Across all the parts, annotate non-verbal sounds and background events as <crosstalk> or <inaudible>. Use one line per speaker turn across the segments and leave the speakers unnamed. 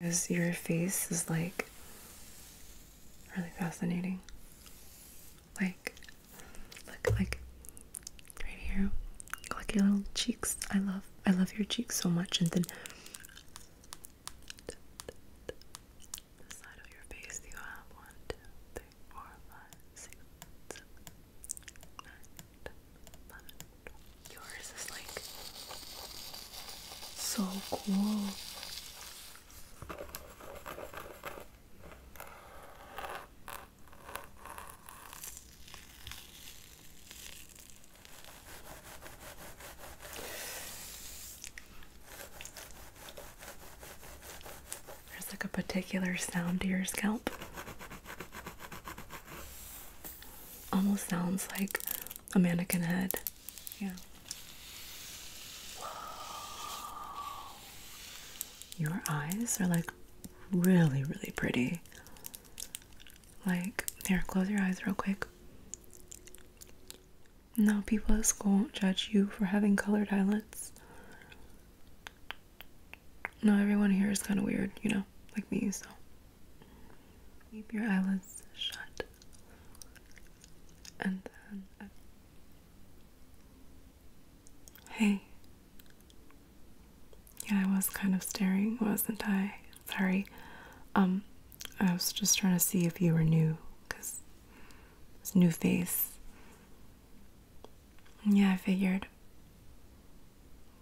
Because your face is like really fascinating. Like, look, like right here, like your little cheeks. I love, I love your cheeks so much. And then Yours is like so cool. There's like a particular sound to your scalp. Almost sounds like a mannequin head. Yeah. Your eyes are like really, really pretty. Like, here, close your eyes real quick. No, people at school won't judge you for having colored eyelids. No, everyone here is kind of weird, you know, like me, so Keep your eyelids shut and then. Uh, hey. Yeah, I was kind of staring, wasn't I? Sorry. Um, I was just trying to see if you were new because it's new face. Yeah, I figured.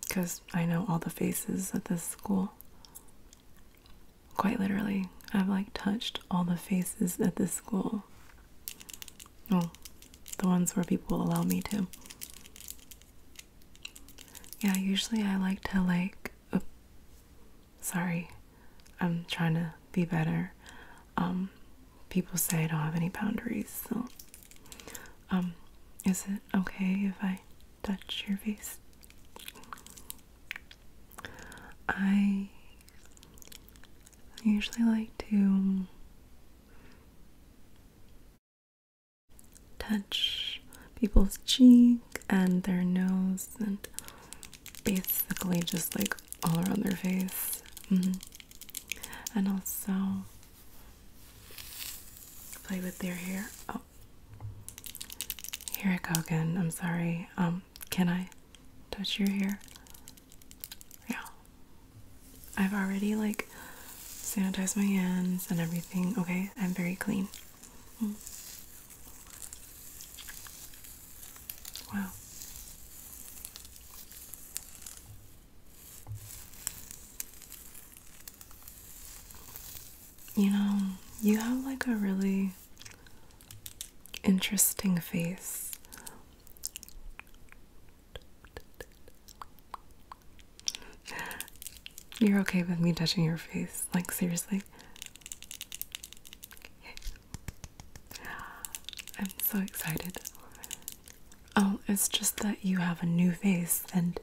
Because I know all the faces at this school. Quite literally, I've like touched all the faces at this school. Well, the ones where people allow me to. Yeah, usually I like to like. Oh, sorry, I'm trying to be better. Um, people say I don't have any boundaries, so. Um, is it okay if I touch your face. I usually like to touch people's cheek and their nose and basically just like all around their face. Mm-hmm. And also play with their hair. Here I go again. I'm sorry. Um, can I touch your hair? Yeah. I've already like sanitized my hands and everything. Okay, I'm very clean. Hmm. Wow. You know, you have like a really interesting face. You're okay with me touching your face, like, seriously. I'm so excited. Oh, it's just that you have a new face and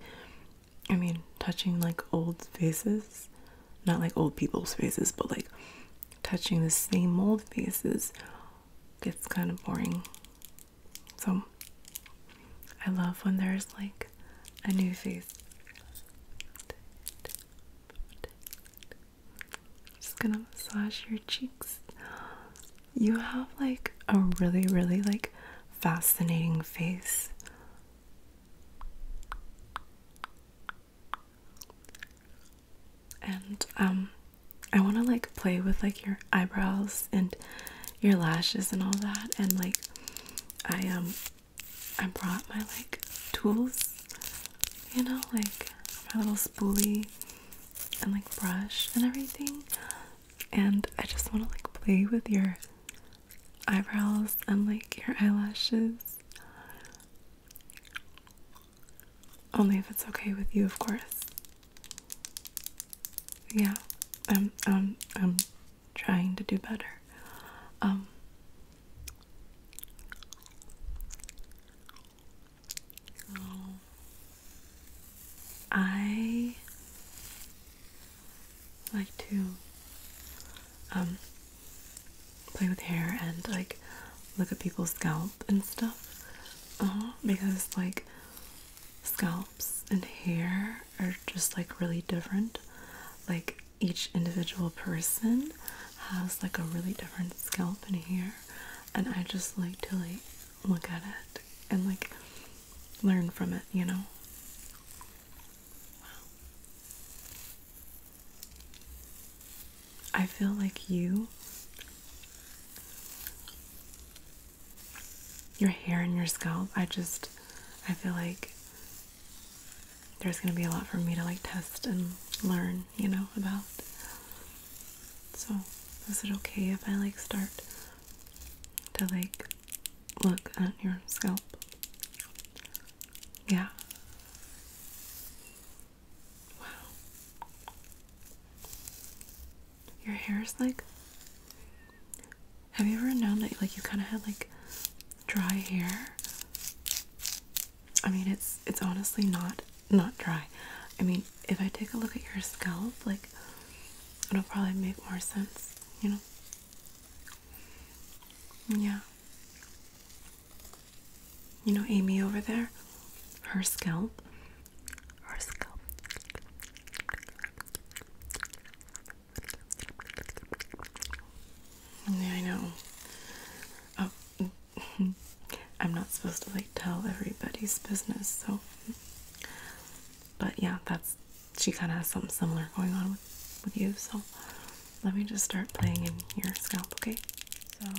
I mean, touching like old faces, not like old people's faces, but like touching the same old faces gets kind of boring. So I love when there's like a new face. Just gonna massage your cheeks. You have like a really, really like fascinating face. And um I want to like play with like your eyebrows and your lashes and all that and like I um I brought my like tools you know like my little spoolie and like brush and everything and I just want to like play with your eyebrows and like your eyelashes. Only if it's okay with you, of course. Yeah, I'm I'm I'm trying to do better. Um I like to um play with hair and like look at people's scalp and stuff uh-huh, because like scalps and hair are just like really different like each individual person has like a really different scalp and hair and I just like to like look at it and like learn from it you know Wow. I feel like you, your hair and your scalp, I just, I feel like there's going to be a lot for me to like test and learn, you know, about. So, is it okay if I like start to like look at your scalp. Yeah. Wow. Your hair is like. Have you ever known that like you kind of had like dry hair? I mean, it's it's honestly not not dry. I mean, if I take a look at your scalp, like it'll probably make more sense, you know. Yeah. You know, Amy over there, her scalp, her scalp. Yeah, I know. Oh, <laughs> I'm not supposed to like tell everybody's business, so. But yeah, that's she kind of has something similar going on with, with you. So let me just start playing in your scalp, okay? So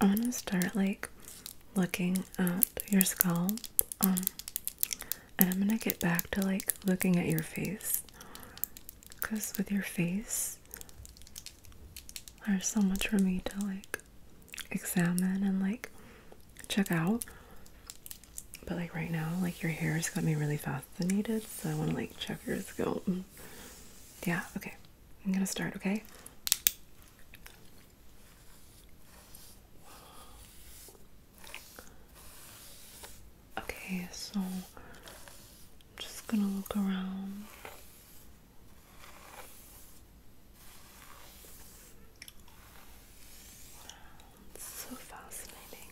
I'm gonna start like looking at your scalp, um, and I'm gonna get back to like looking at your face because with your face, there's so much for me to like examine and like check out. But like right now, like your hair has got me really fascinated, so I want to like check your scalp. Yeah, okay. I'm gonna start, okay? Okay, so I'm just gonna look around. That's so fascinating.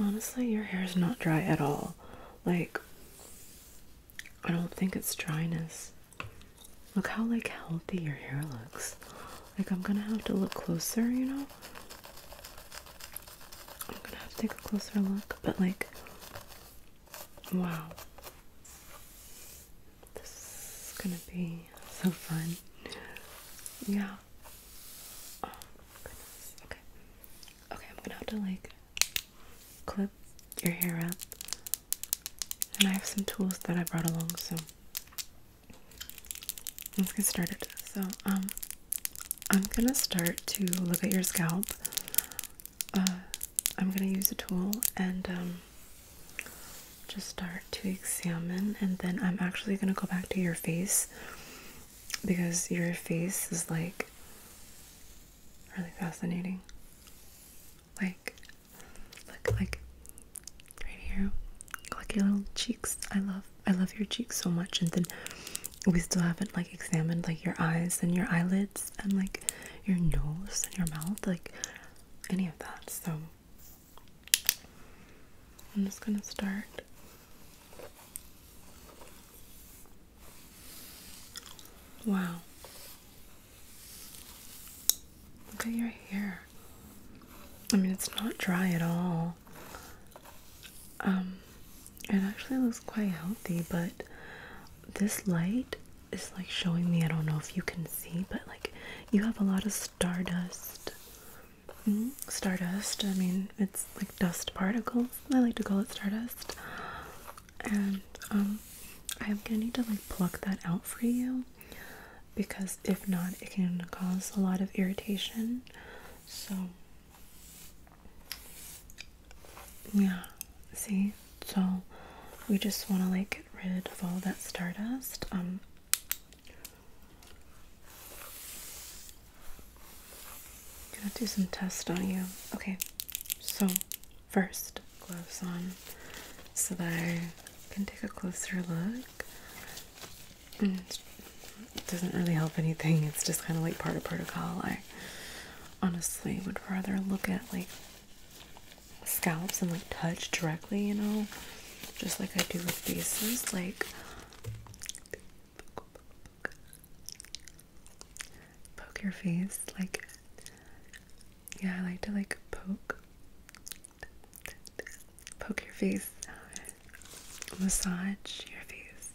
Honestly, your hair is not dry at all. Like, I don't think it's dryness. Look how like healthy your hair looks. Like I'm gonna have to look closer, you know? I'm gonna have to take a closer look, but like wow. This is gonna be so fun. Yeah. Oh, okay. Okay, I'm gonna have to like clip your hair up. And I have some tools that I brought along, so let's get started. So, um, I'm gonna start to look at your scalp. Uh, I'm gonna use a tool and um, just start to examine, and then I'm actually gonna go back to your face because your face is like really fascinating. Like, look, like right here, like your little cheeks. I love, I love your cheeks so much, and then we still haven't like examined like your eyes and your eyelids and like your nose and your mouth, like any of that. So I'm just going to start Wow. Look at your hair. I mean, it's not dry at all. Um, it actually looks quite healthy, but this light is like showing me, I don't know if you can see, but like you have a lot of stardust. Hmm? stardust, I mean, it's like dust particles. I like to call it stardust. And I'm um, gonna need to like pluck that out for you because if not, it can cause a lot of irritation. So, yeah, see? So, we just want to like get rid of all that stardust. Um, i gonna do some tests on you. Okay, so first, gloves on so that I can take a closer look. Mm, doesn't really help anything, it's just kind of like part of protocol. I honestly would rather look at like scalps and like touch directly, you know, just like I do with faces. Like, poke your face. Like, yeah, I like to like poke, poke your face, massage your face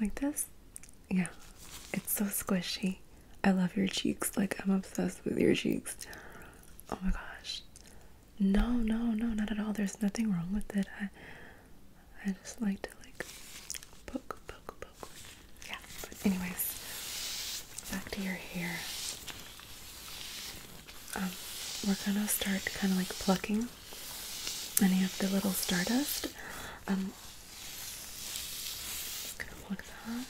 like this. Yeah, it's so squishy. I love your cheeks. Like, I'm obsessed with your cheeks. Oh my gosh. No, no, no, not at all. There's nothing wrong with it. I I just like to like poke, poke, poke. Yeah, but anyways, back to your hair. Um, we're gonna start kind of like plucking any of the little stardust. Um, just gonna pluck that.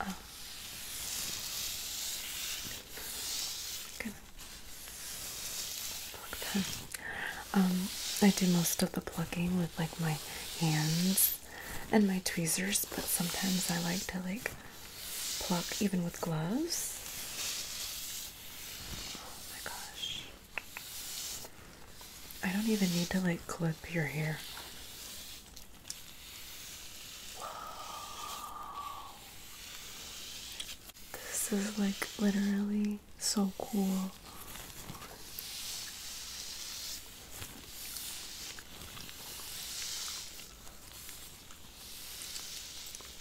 아. Good. Pluck Um, I do most of the plucking with like my hands and my tweezers, but sometimes I like to like pluck even with gloves. Oh my gosh. I don't even need to like clip your hair. This is like literally so cool.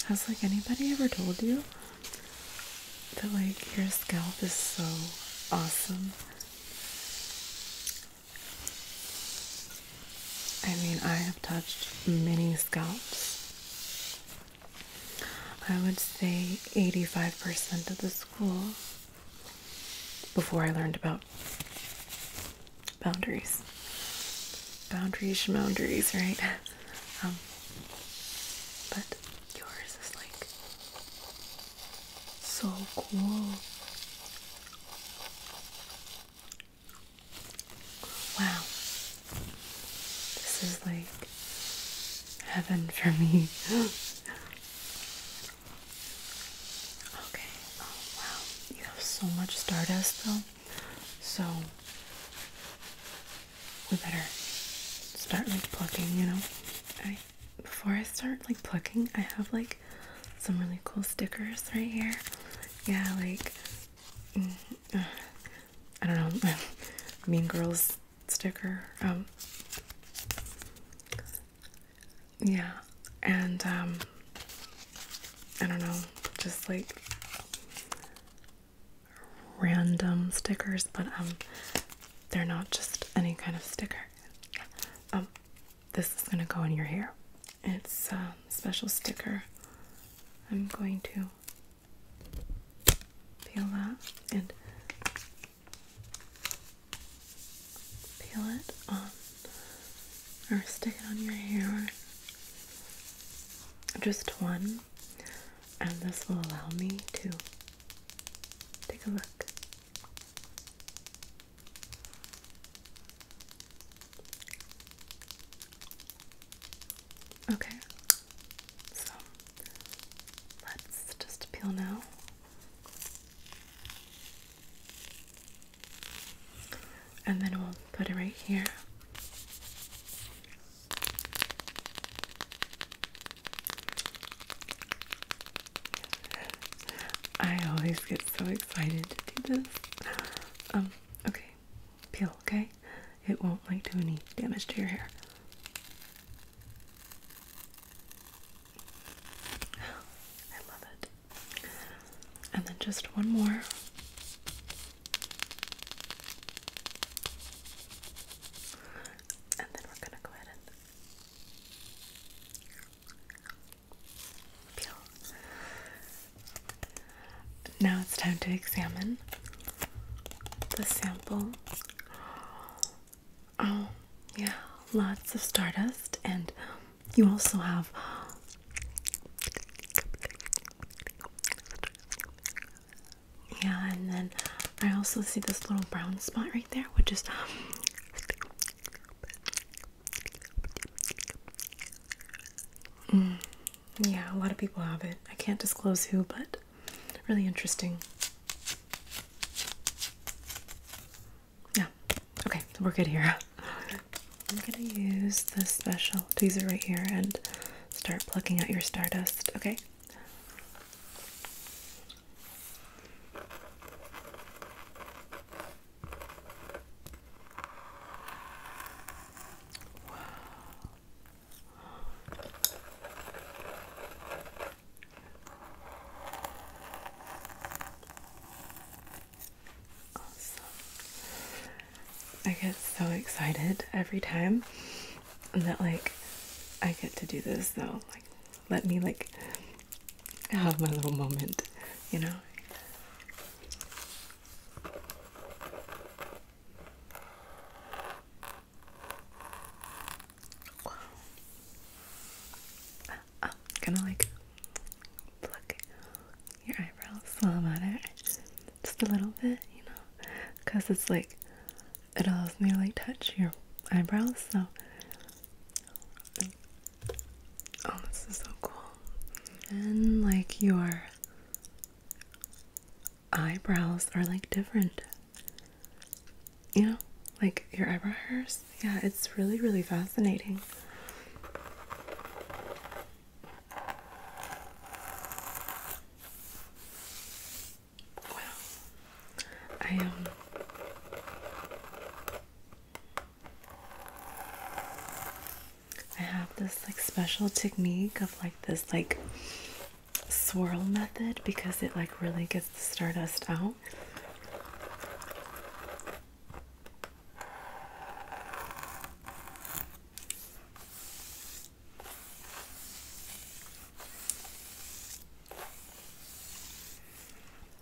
Has like anybody ever told you that like your scalp is so awesome? I mean, I have touched many scalps. I would say 85% of the school before I learned about boundaries. Boundaries, boundaries, right? <laughs> Um, but yours is like so cool. Wow. This is like heaven for me. <laughs> okay. Oh, wow. You have so much stardust though. So we better start like you know? before I start like plucking, I have like some really cool stickers right here. Yeah, like mm, uh, I don't know, <laughs> Mean Girls sticker. Um, yeah, and um, I don't know, just like random stickers, but um, they're not just any kind of sticker this is going to go in your hair. It's a um, special sticker. I'm going to peel that and peel it on or stick it on your hair. Just one, and this will allow me to take a look Okay, so let's just peel now. And then we'll put it right here. I always get so excited to do this. Um, okay. Peel, okay? It won't like do any damage to your hair. <sighs> I love it. And then just one more. And then we're gonna go ahead and now it's time to examine the sample. Oh, yeah, lots of stardust, and you also have yeah, and then I also see this little brown spot right there, which is Mm, yeah, a lot of people have it. I can't disclose who, but really interesting. Yeah, okay, we're good here. I'm gonna use the special tweezer right here and start plucking out your stardust, okay? I get so excited every time that like I get to do this though let me like have my little moment, you know. Wow. I'm uh, uh, gonna like pluck your eyebrows while I'm at it, just a little bit, you know, because it's like it allows me touch your eyebrows, so Oh, this is so cool. And like your eyebrows are like different. You know, like your eyebrows. Yeah, it's really, really fascinating. Wow. I um I have this like special technique of like this like swirl method because it like really gets the stardust out.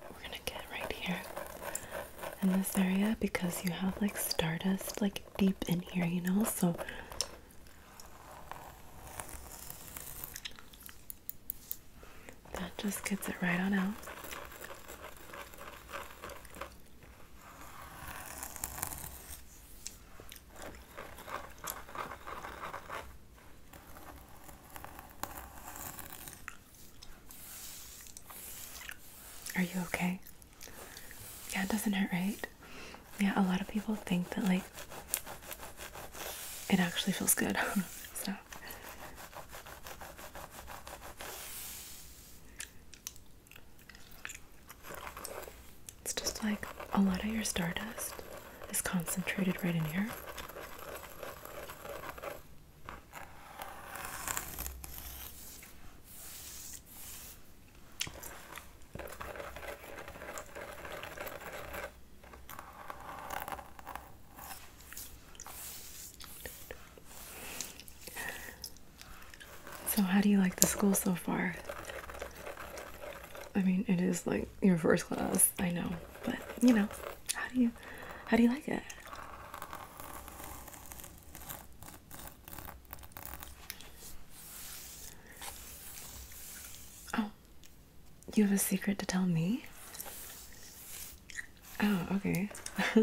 We're gonna get right here in this area because you have like stardust like deep in here, you know? So that just gets it right on out. Are you okay? Yeah, it doesn't hurt, right? Yeah, a lot of people think that like it actually feels good. <laughs> so it's just like a lot of your stardust is concentrated right in here. So, how do you like the school so far? I mean, it is like your first class, I know. But you know, how do you how do you like it? Oh, you have a secret to tell me? Oh, okay. <laughs>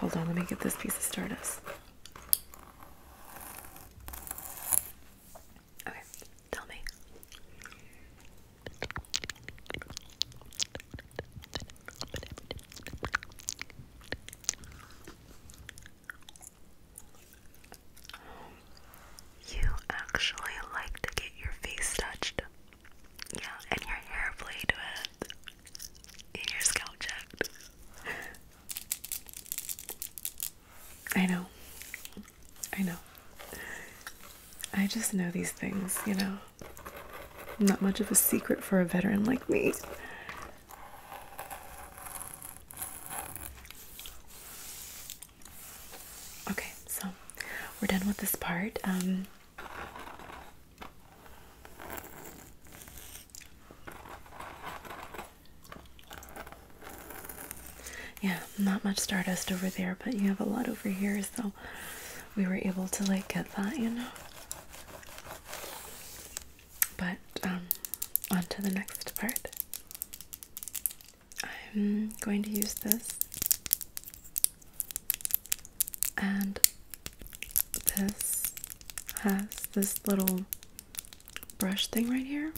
Hold on, let me get this piece of stardust. Okay, tell me. You actually like to get your face touched. Yeah, and your hair played with. And your scalp checked. <laughs> I know. I know. I just know these things, you know. Not much of a secret for a veteran like me. Okay, so we're done with this part. Um, yeah, not much stardust over there, but you have a lot over here, so we were able to like get that, you know. But um, on to the next part. I'm going to use this and this has this little brush thing right here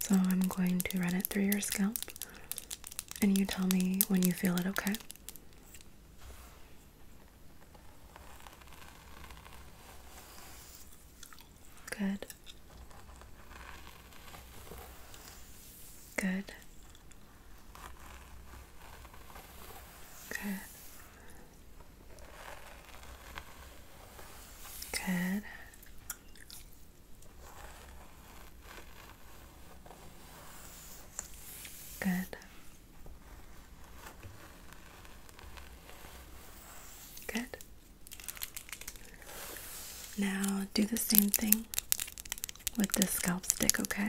so I'm going to run it through your scalp and you tell me when you feel it okay. Good. Good. Good. Good. Good. Good. Now do the same thing with the scalp stick, okay?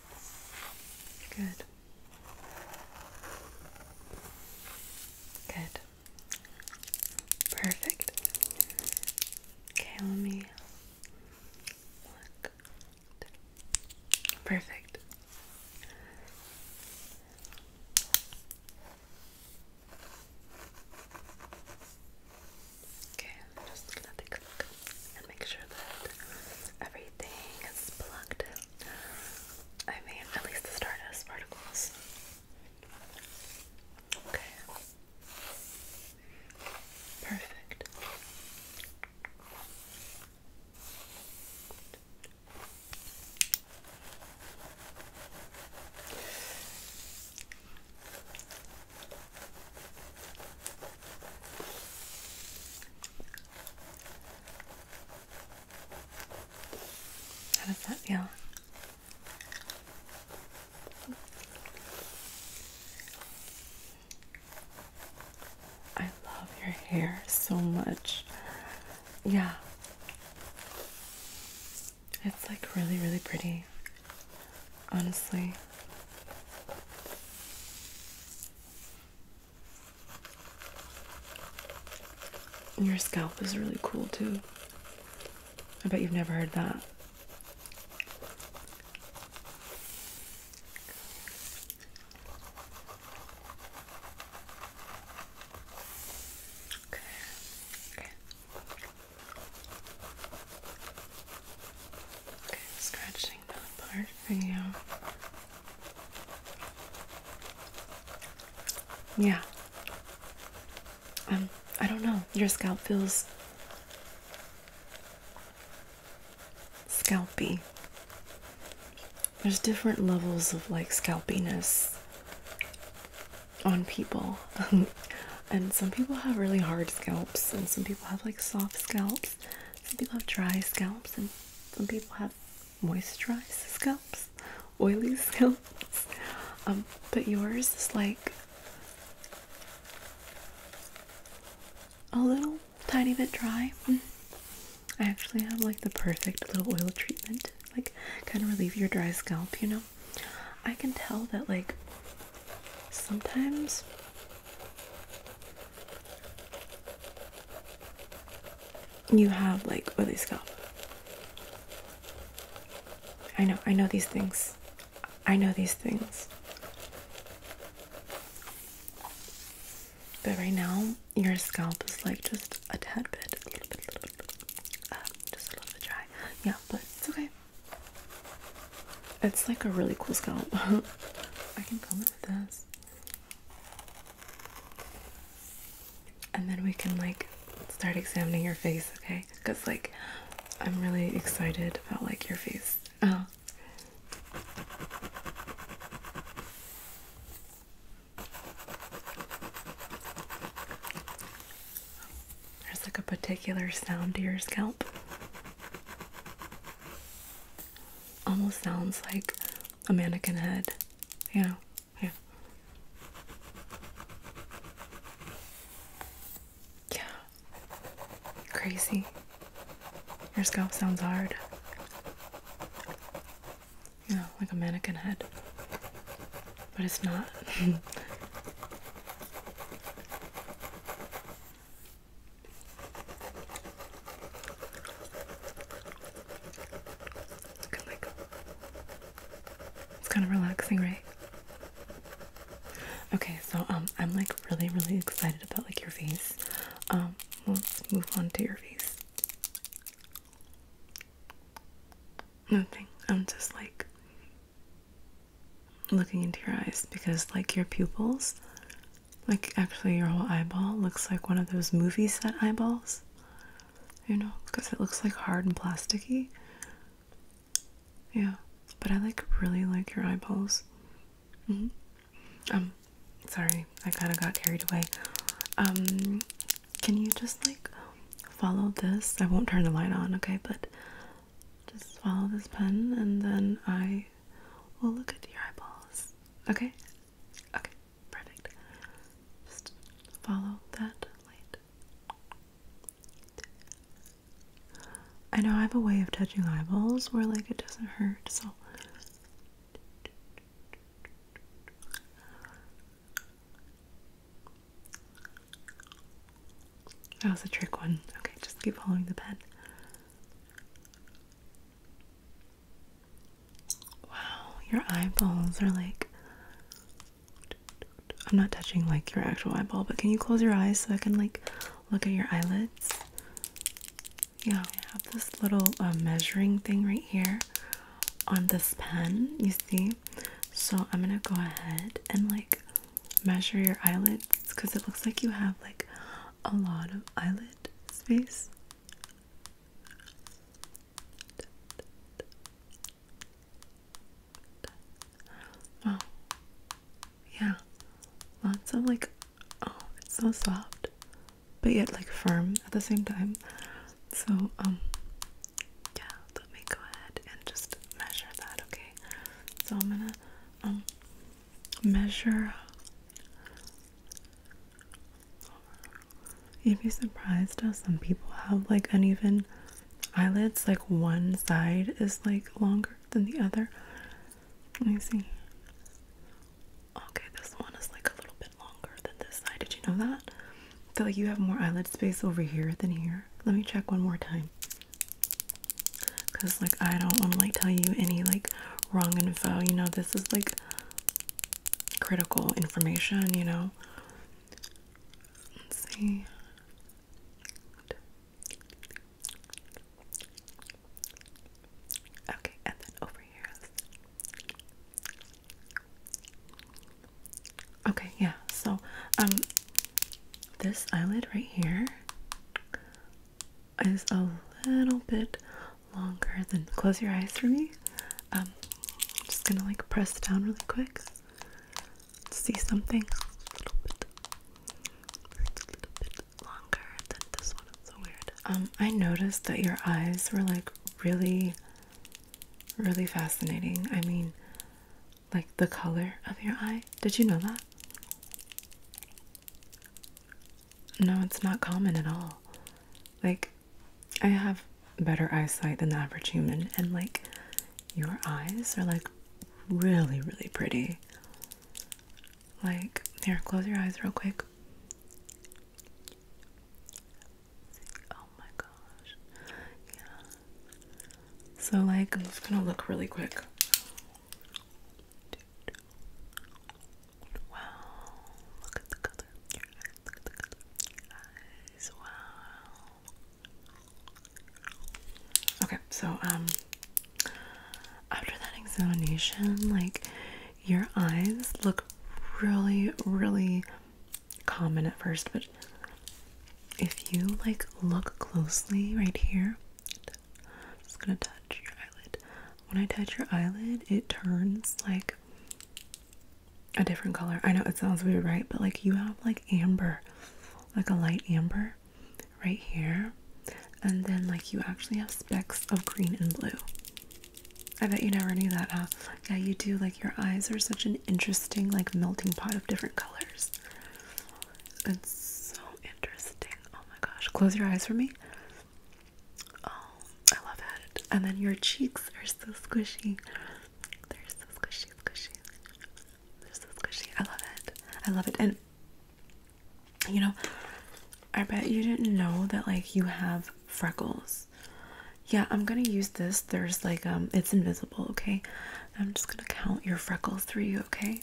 Good. Good. Perfect. Okay, let me look. Perfect. Okay, just going look and make sure that everything is plugged. I mean, at least the Stardust particles. Okay. Perfect. How does that feel? I love your hair so much. Yeah. It's like really, really pretty. Honestly. Your scalp is really cool too. I bet you've never heard that. Okay. Okay. Okay, scratch getting Yeah. Um, I don't know. Your scalp feels scalpy. There's different levels of like scalpiness on people. <laughs> and some people have really hard scalps and some people have like soft scalps. Some people have dry scalps, and some people have moisturized scalps, oily <laughs> scalps. Um, but yours is like a little tiny bit dry. Mm. I actually have like the perfect little oil treatment, like kind of relieve your dry scalp, you know. I can tell that like sometimes you have like oily scalp. I know, I know these things. I know these things. But right now, your scalp is like just a tad bit, just a little bit dry. Yeah, but it's okay. It's like a really cool scalp. <laughs> I can comb with this. And then we can like start examining your face, okay? Because like I'm really excited about like your face. <laughs> Oh. There's like a particular sound to your scalp. Almost sounds like a mannequin head, you know? Yeah. Yeah. Crazy. Your scalp sounds hard. You like a mannequin head. But it's not. <laughs> It's kind of relaxing, right? Okay, so um, I'm like really, really excited about like your face. Um, let's move on to your face. Nothing. I'm just like looking into your eyes because, like, your pupils, like, actually, your whole eyeball looks like one of those movie set eyeballs, you know, because it looks like hard and plasticky. Yeah, but I like really like your eyeballs. Mm -hmm. Um, sorry, I kind of got carried away. Um, can you just like follow this? I won't turn the light on, okay? But just follow this pen and then I will look at your eyeballs. Okay? Okay, perfect. Just follow that light. I know I have a way of touching eyeballs where like it doesn't hurt, so that was a trick one. Okay, just keep following the pen. Wow, your eyeballs are like. I'm not touching like your actual eyeball, but can you close your eyes so I can like look at your eyelids? Yeah, I have this little um, measuring thing right here on this pen, you see? So I'm gonna go ahead and like measure your eyelids because it looks like you have like a lot of eyelid space. Oh, yeah, lots of like, oh, it's so soft, but yet like firm at the same time. So, um, yeah, let me go ahead and just measure that, okay? So, I'm gonna um, measure. You'd be surprised how some people have like uneven eyelids, like one side is like longer than the other. Let me see. Okay, this one is like a little bit longer than this side. Did you know that? I feel like you have more eyelid space over here than here. Let me check one more time because like i don't want to like tell you any like wrong info you know this is like critical information you know let's see okay and then over here okay yeah so um this eyelid right here is a little bit longer than close your eyes for me. Um, I'm just gonna like press down really quick. See something a little bit. longer than this one. so weird. Um, I noticed that your eyes were like really, really fascinating. I mean, like the color of your eye. Did you know that? No, it's not common at all. Like, I have better eyesight than the average human, and like, your eyes are like really, really pretty. Like, here, close your eyes real quick. Oh my gosh. Yeah. So, like, I'm just gonna look really quick. Wow, look at the color your eyes, wow. Okay, so, um, after that examination, like, your eyes look really, really common at first, but if you, like, look closely right here, I'm just gonna touch your eyelid. When I touch your eyelid, it turns like a different color. I know it sounds weird, right? But like you have like amber, like a light amber right here, and then like you actually have specks of green and blue. I bet you never knew that, huh? Yeah, you do. Like your eyes are such an interesting, like melting pot of different colors. It's so interesting. Oh my gosh. Close your eyes for me. Oh, I love it. And then your cheeks are so squishy. They're so squishy, squishy. They're so squishy. I love it. I love it. And you know, I bet you didn't know that like you have freckles. Yeah, I'm gonna use this. There's like um it's invisible, okay? I'm just gonna count your freckles three. okay?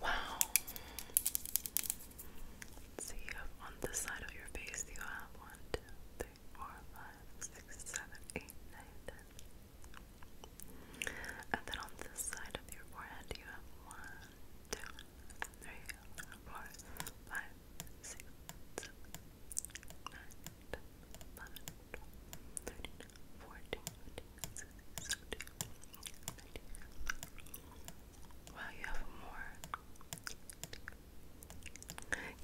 Wow. let you have on this side of your face, you have one, two, three, four, five, six, seven, eight, nine, ten. And then on this side of your forehead, you have one, two, three, four, five, six, seven, nine, ten, eleven, twelve, thirteen, fourteen, fifteen, sixteen, seventeen, eighteen. Wow,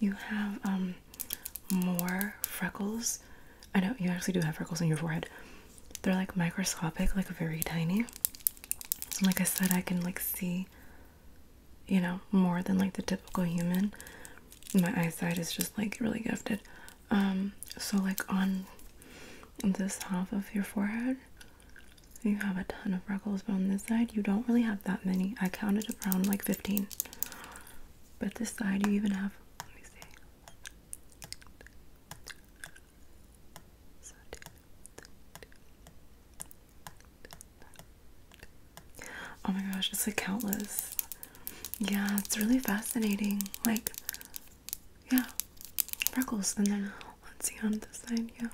you have more. You have um more freckles. I know you actually do have freckles on your forehead they're like microscopic, like very tiny. So like I said, I can like see, you know, more than like the typical human. My eyesight is just like really gifted. Um, so like on this half of your forehead, you have a ton of freckles, but on this side, you don't really have that many. I counted around like 15. But this side, you even have, let me see. Oh my gosh, it's like countless. Yeah, it's really fascinating. Like, yeah, freckles, and then let's see on this side. Yeah.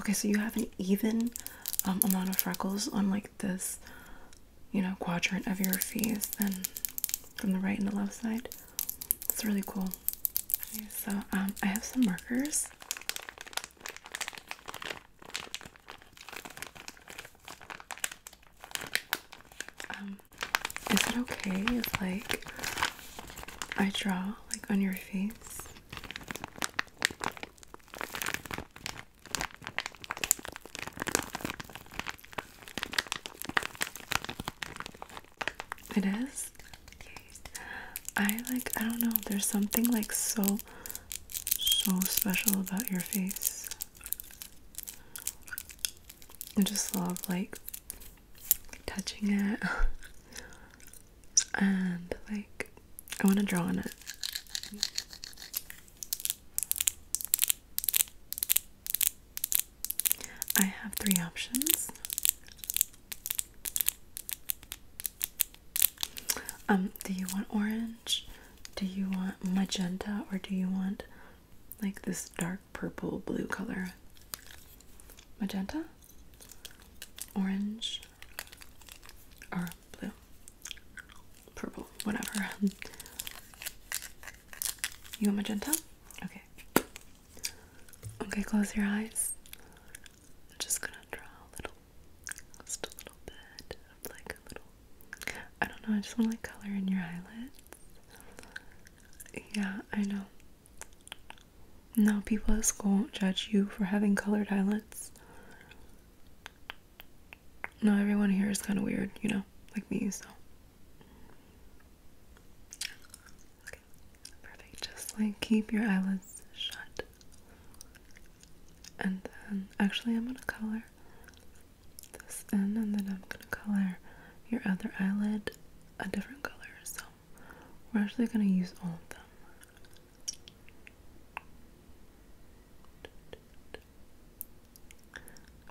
Okay, so you have an even um, amount of freckles on like this, you know, quadrant of your face, then from the right and the left side. It's really cool. so um, I have some markers. Um, is it okay if like I draw like on your face? It is? I like I don't know, there's something like so so special about your face. I just love like touching it <laughs> and like I want to draw on it. I have three options. Um, do you want orange? Do you want magenta or do you want like this dark purple blue color. Magenta, orange, or blue, purple, whatever. <laughs> You want magenta? Okay. Okay, close your eyes. I'm just gonna draw a little, just a little bit of like a little. I don't know. I just want to like color in your eyelids. Yeah, I know. No people at school won't judge you for having colored eyelids. No, everyone here is kind of weird, you know, like me, so. perfect. Just like keep your eyelids shut. And then, actually, I'm gonna color this in, and then I'm gonna color your other eyelid a different color, so we're actually going to use all of them.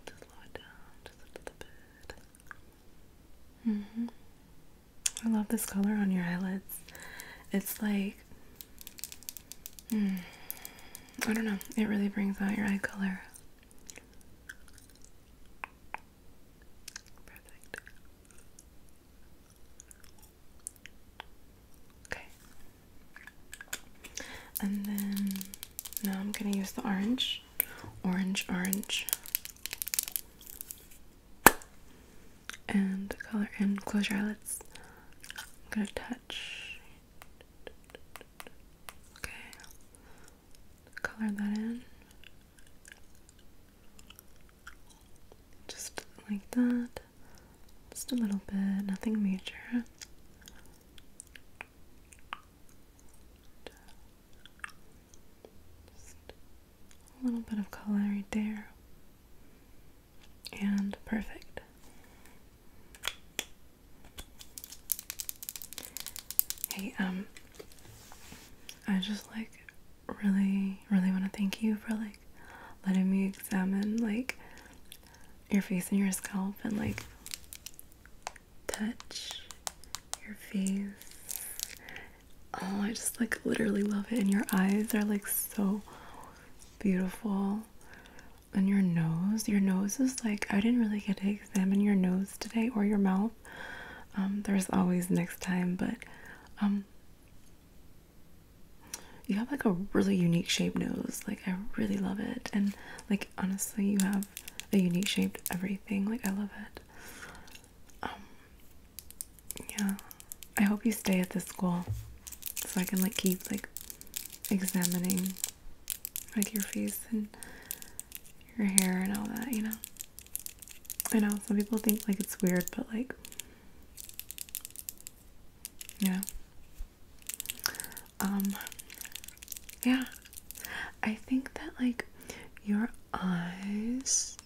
Just a little bit. -hmm. I love this color on your eyelids. It's like, hmm, I don't know, it really brings out your eye color. Okay. And then now I'm going to use the orange. Orange, orange. And color and close your eyelids. I'm going to touch. Okay color that in just like that just a little bit nothing major just a little bit of color right there and perfect Hey, um, I just like really, really want to thank you for like letting me examine like your face and your scalp and like touch your face. Oh, I just like literally love it. And your eyes are like so beautiful. And your nose, your nose is like, I didn't really get it examine your nose today or your mouth. Um, there's always next time, but um, you have like a really unique shaped nose. Like, I really love it. And, like, honestly, you have a unique shaped everything. Like, I love it. Um, yeah. I hope you stay at this school so I can, like, keep, like, examining like your face and your hair and all that, you know? I know some people think like it's weird, but like, yeah. Um, yeah. I think that like your eyes.